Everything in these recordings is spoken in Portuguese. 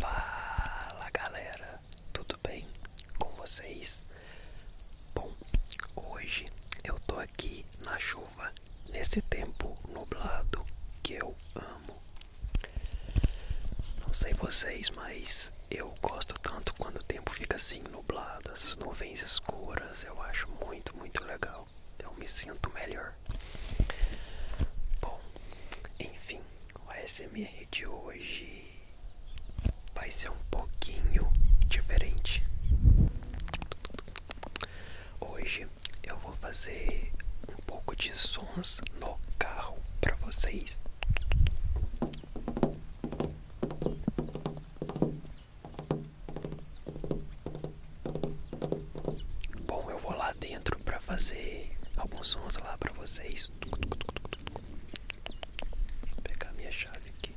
Fala galera, tudo bem com vocês? Bom, hoje eu tô aqui na chuva, nesse tempo nublado que eu amo. Não sei vocês, mas eu gosto tanto quando o tempo fica assim nublado, as nuvens escuras, eu acho muito, muito legal eu me sinto melhor. Bom, enfim, o ASMR de hoje vai ser um pouquinho diferente. Hoje eu vou fazer um pouco de sons no carro para vocês. Bom, eu vou lá dentro para fazer alguns sons lá para vocês. Vou pegar minha chave aqui.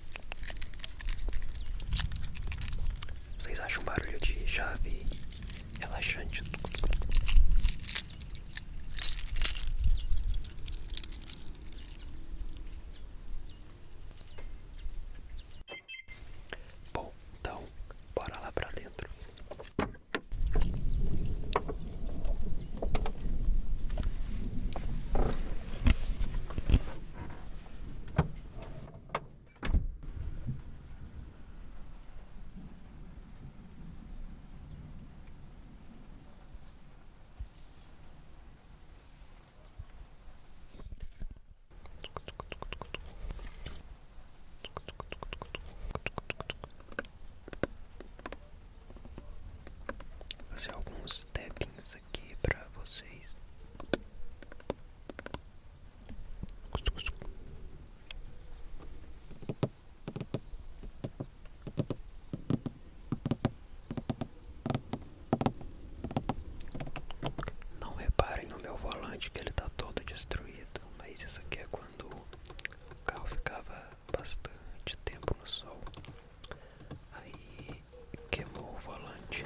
Vocês acham um barulho de chave relaxante? Bom, então, bora lá pra dentro. Fazer alguns tappings aqui para vocês. Não reparem no meu volante que ele tá todo destruído, mas isso aqui é quando o carro ficava bastante tempo no sol. Aí queimou o volante.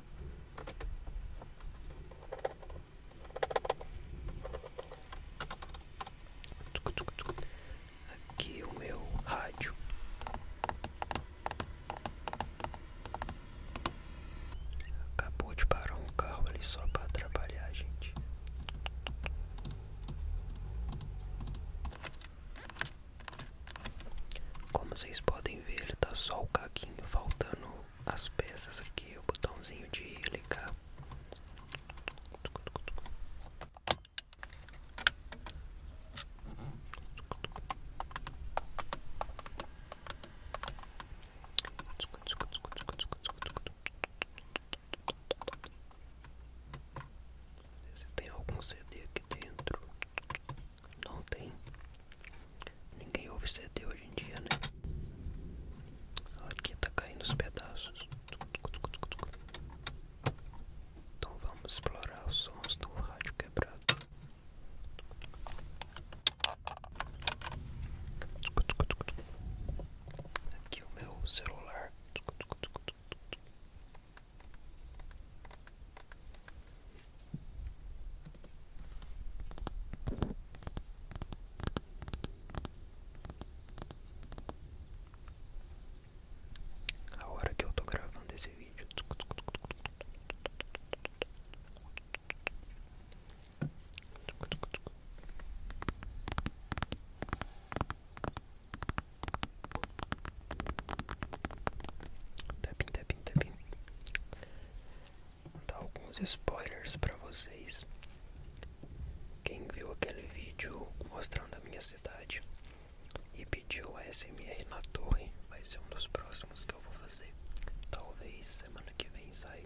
Aqui o meu rádio. Acabou de parar um carro ali só para atrapalhar a gente. Como vocês podem ver, tá só o caguinho faltando as peças aqui, o botãozinho de ligar. Tem algum CD aqui dentro. Não tem. Ninguém ouve CD hoje em dia, né? Aqui tá caindo os pedaços. Então vamos explorar os sons do rádio quebrado. Aqui o meu celular. A hora que eu estou gravando esse vídeo Tapping, tapping, tapping. Vou dar alguns spoilers pra vocês. Quem viu aquele vídeo mostrando a minha cidade e pediu a SMR na torre, vai ser um dos próximos que eu vou fazer. Talvez semana que vem sai.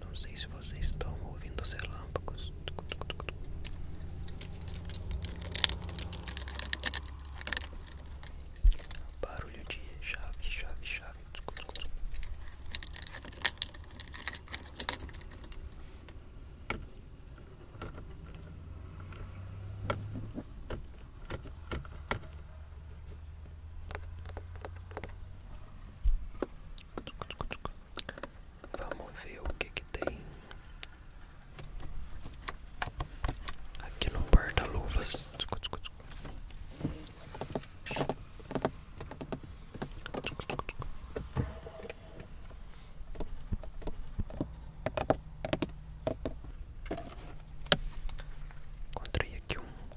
Não sei se vocês estão ouvindo os relâmpagos. Barulho de chave, chave, chave. Vamos ver o que que tem aqui no porta-luvas. Encontrei aqui um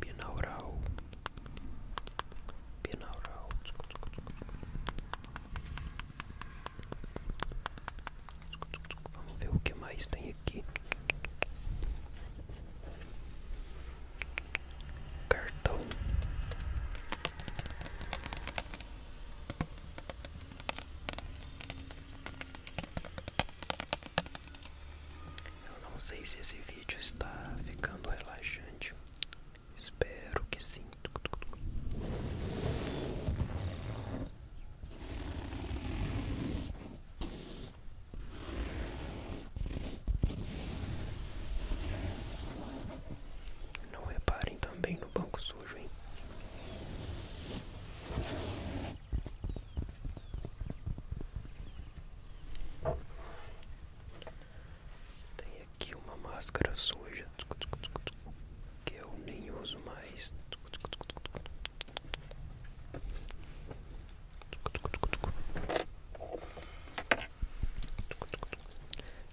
Binaural, binaural, vamos ver o que mais tem aqui. Cartão eu não sei se esse vídeo está ficando relaxante. Espero que sim. Não reparem também no banco sujo, hein? Tem aqui uma máscara suja que eu nem uso mais.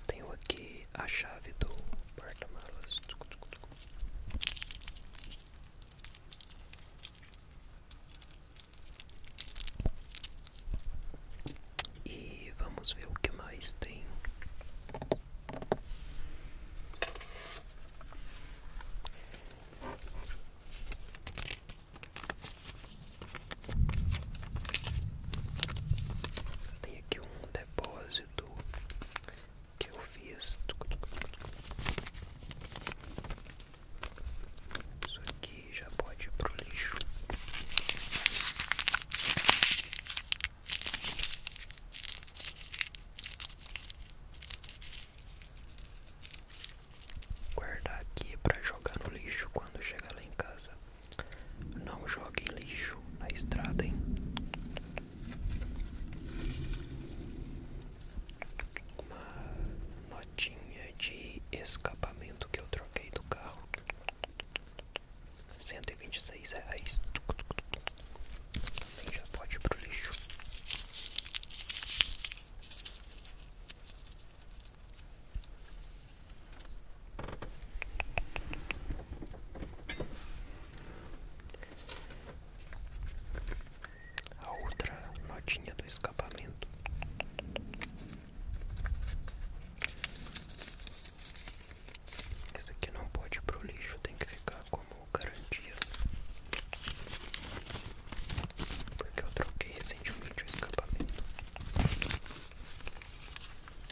Tenho aqui a chave do porta-malas. E vamos ver o que mais tem. Tem aqui um depósito que eu fiz. Isso aqui já pode ir pro lixo. Guardar aqui para jogar no lixo quando chegar lá em casa. Não jogue lixo na estrada, hein? Uma notinha de escapamento que eu troquei do carro. Cento e 126 reais. Também já pode ir pro lixo. A outra notinha do escapamento. Esse aqui não pode ir pro lixo, tem que ficar como garantia. Porque eu troquei recentemente o escapamento.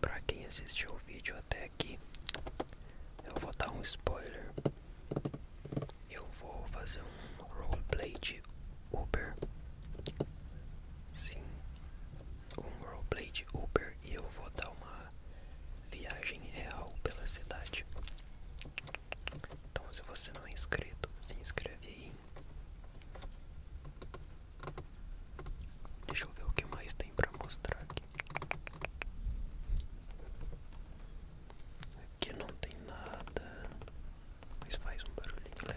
Para quem assistiu o vídeo até aqui, eu vou dar um spoiler. Eu vou fazer um roleplay de Uber. Sim, com roleplay de Uber e eu vou dar uma viagem real pela cidade. Então, se você não é inscrito, se inscreve aí. Deixa eu ver o que mais tem pra mostrar aqui. Aqui não tem nada, mas faz um barulhinho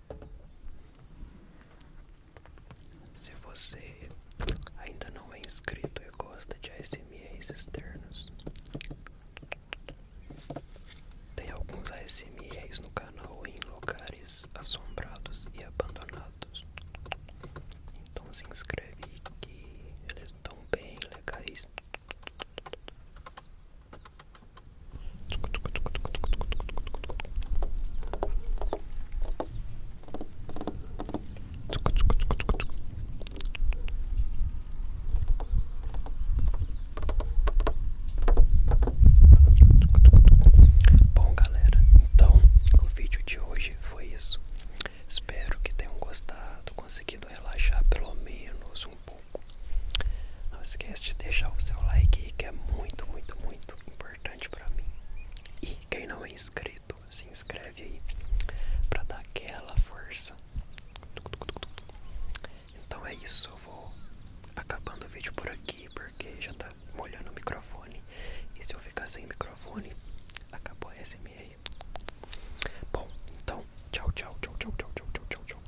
Se você ainda não é inscrito e gosta de ASMR externos, tem alguns ASMRs no canal em lugares assombrados e abandonados. Então se inscreve que eles estão bem legais. Bom, galera, então o vídeo de hoje foi isso. Espero que tenham gostado, conseguido relaxar pelo menos um pouco. Não esquece de deixar o seu like que é muito, muito, muito importante importante para mim. E quem não é inscrito, se inscreve aí para dar aquela força. Então é isso, eu vou acabando o vídeo por aqui porque já tá molhando o microfone. E se eu ficar sem microfone, acabou a SMR. Bom, então, tchau, tchau, tchau, tchau, tchau, tchau, tchau. tchau.